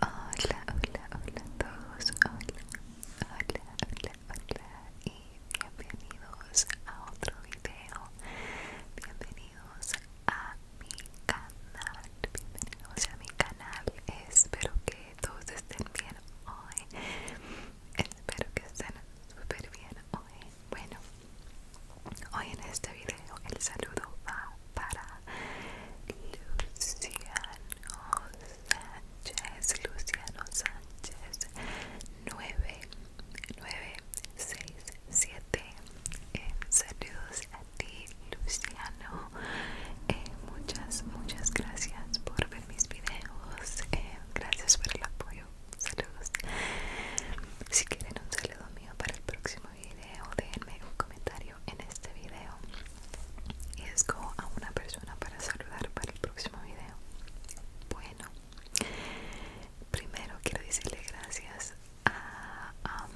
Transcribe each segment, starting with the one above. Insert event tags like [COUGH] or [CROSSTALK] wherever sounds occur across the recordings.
Hola, hola, hola a todos, hola, hola, hola, hola y bienvenidos a otro video, bienvenidos a mi canal, bienvenidos a mi canal, espero que todos estén bien hoy, espero que estén súper bien hoy, bueno, hoy en este video el saludo va para Luciano Sánchez, Luciano Sánchez 9, saludos a ti, Luciano. Eh, muchas, muchas gracias por ver mis videos. Eh, gracias por el apoyo. Saludos. Si quieren un saludo mío para el próximo video, déjenme un comentario en este video y como a una persona para saludar para el próximo video. Bueno, primero quiero decirle gracias a,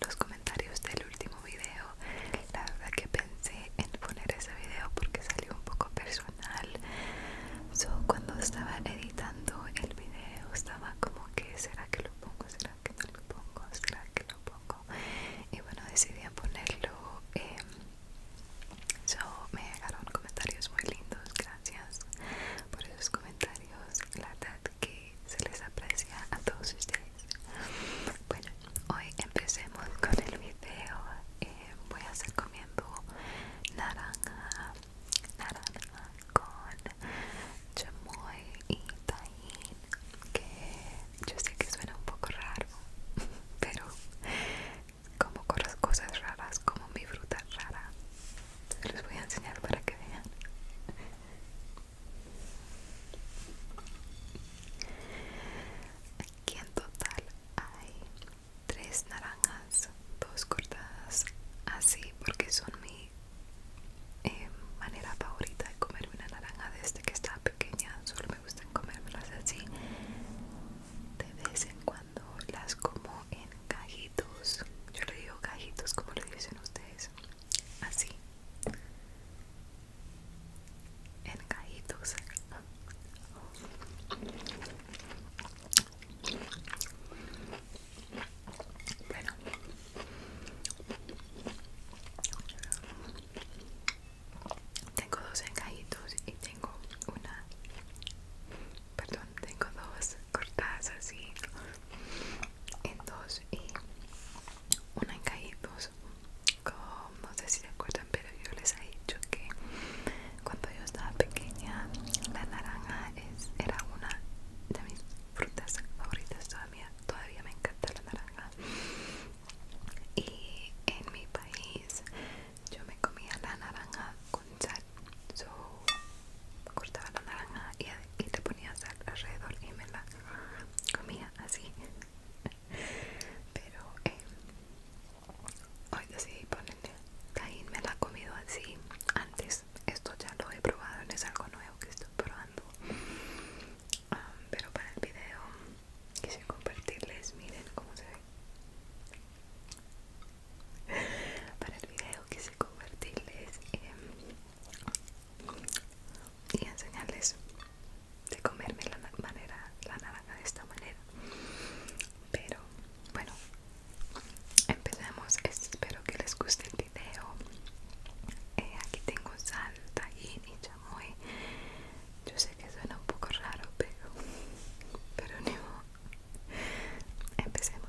los comentarios del último video. La verdad que pensé en poner ese video porque salió un poco personal. cuando estaba editando el video estaba como que será que lo pongo, será que no lo pongo, será que lo pongo y bueno decidí ponerlo Yo em, me llegaron comentarios muy lindos, gracias por esos comentarios la verdad que se les aprecia a todos ustedes bueno, hoy empecemos con el video em, voy a estar comiendo naranja naranja con chamoy y tahín que yo sé que suena un poco raro pero como cosas raras como mi fruta rara se los voy a enseñar para que vean aquí en total hay tres naranjas, dos cortadas así porque son mi eh, manera favorita de comer una naranja desde que estaba pequeña. Solo me gustan comérmelas así. De vez en cuando las como en cajitos. Yo le digo cajitos como le dicen ustedes. Así. En cajitos. Bueno. Tengo dos encajitos y tengo una... Perdón, tengo dos cortadas así en dos y una encajitos. Como no sé si se acuerdan, pero yo les he dicho que cuando yo estaba pequeña la naranja era una de mis frutas favoritas todavía, todavía me encanta la naranja y en mi país yo me comía la naranja con sal Yo cortaba la naranja y, te le ponía sal alrededor y me la comía así [LAUGHS] pero em, hoy decidí ponenle Caín me la ha comido así antes esto ya lo he probado no es algo nuevo que estoy probando ah, pero para el video quise compartirles miren cómo se ve [LAUGHS] para el video quise compartirles em, y enseñarles de comerme la manera la naranja de esta manera pero bueno empecemos, espero que les guste el video eh, aquí tengo sal y y chamoy yo sé que suena un poco raro pero pero empecemos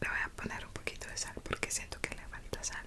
Le voy a poner un poquito de sal porque siento que le falta sal.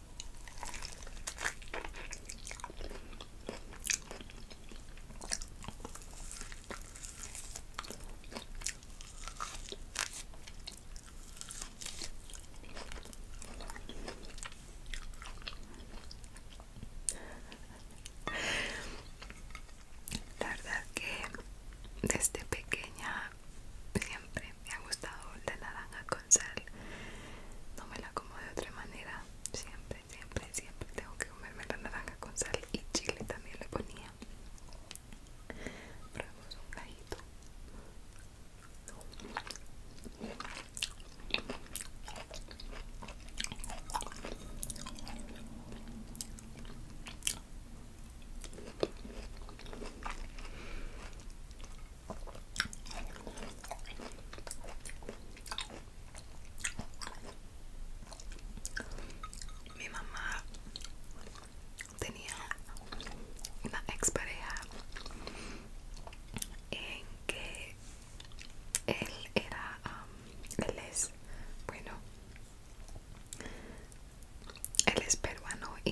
La verdad que desde pequeña siempre me ha gustado la naranja con sal. No me la como de otra manera. Siempre, siempre, siempre tengo que comerme la naranja con sal y chile también le ponía. Probemos un gallito. Mi mamá tenía una ex pareja en que él era, um, él es, bueno, él es peruano y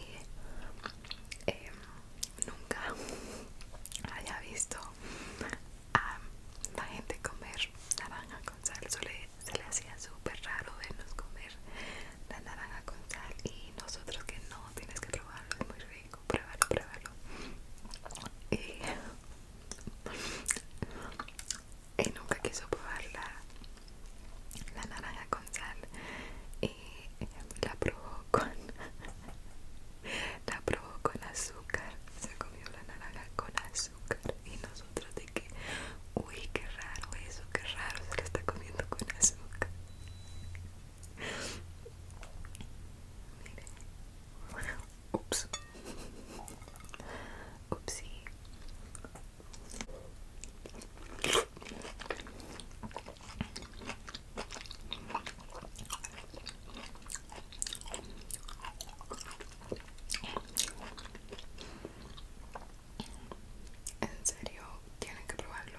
em, nunca [LAUGHS] haya visto a la gente comer naranja con sal. se le hacía súper raro vernos comer la naranja con sal y nosotros que no, tienes que probarlo, es muy rico, pruébalo, pruébalo. y [LAUGHS] nunca quiso probarla la naranja con sal y la probó con la probó con azúcar se comió la naranja con azúcar y nosotros de que uy qué raro eso qué raro se la está comiendo con azúcar Mire. Ups. En serio, tienen que probarlo.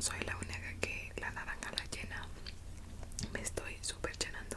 Soy la única que la naranja la llena. Me estoy super llenando.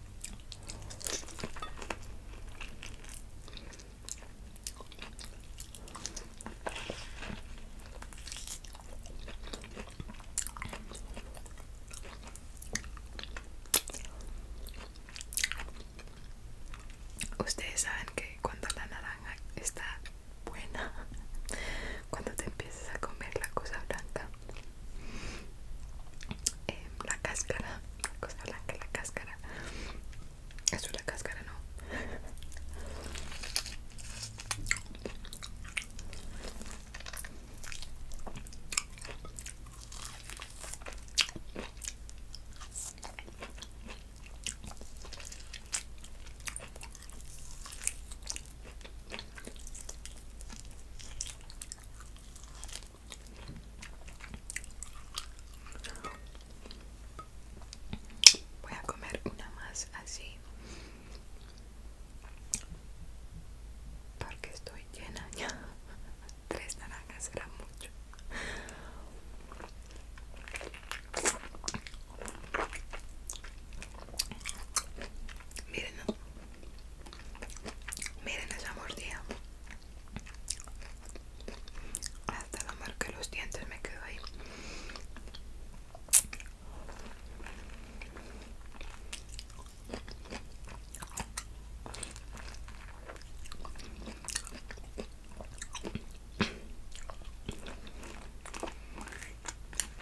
Ustedes saben que cuando la naranja está buena, [LAUGHS] cuando te empiezas a comer la cosa blanca, Em, la cáscara, la cosa blanca, la cáscara. Eso es la cáscara, no. Voy a comer una más así porque estoy llena ya. [LAUGHS] Tres naranjas era mucho. Miren, Miren esa mordida. Hasta la marca de los dientes me quedó ahí.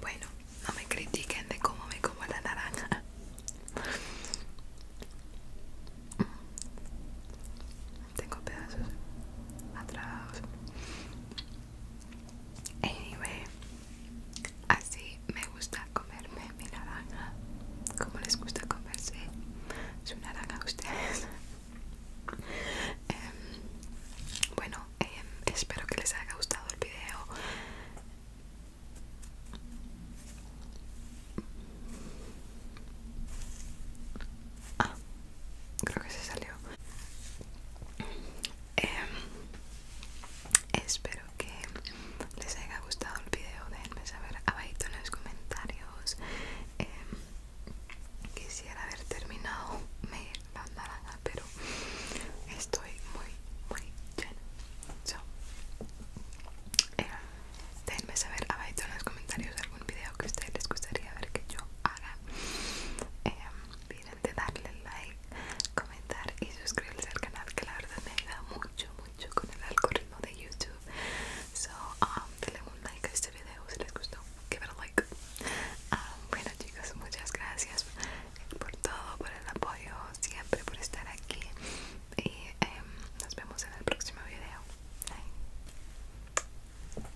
Bueno, no me critiquen de cómo me como la naranja. Tengo pedazos atrás. Anyway, así me gusta comerme mi naranja. Como les gusta comerse su naranja a ustedes. [LAUGHS] Em, bueno, em, espero que les haya gustado el video. Ah, creo que se salió. Em, espero que les haya gustado el video déjenme saber abajito en los comentarios em, quisiera haber terminado me la pero estoy muy muy llena so, eh, déjenme saber abajito en los comentarios algún video que a ustedes les gustaría ver que yo haga em, de darle like, comentar y suscribirse al canal que la verdad me ayuda mucho, mucho con el algoritmo de YouTube. So, um, denle un like a este video si les gustó. Give it like. Um, bueno, chicos, muchas gracias por todo, por el apoyo, siempre por estar aquí. Y em, nos vemos en el próximo video. Bye.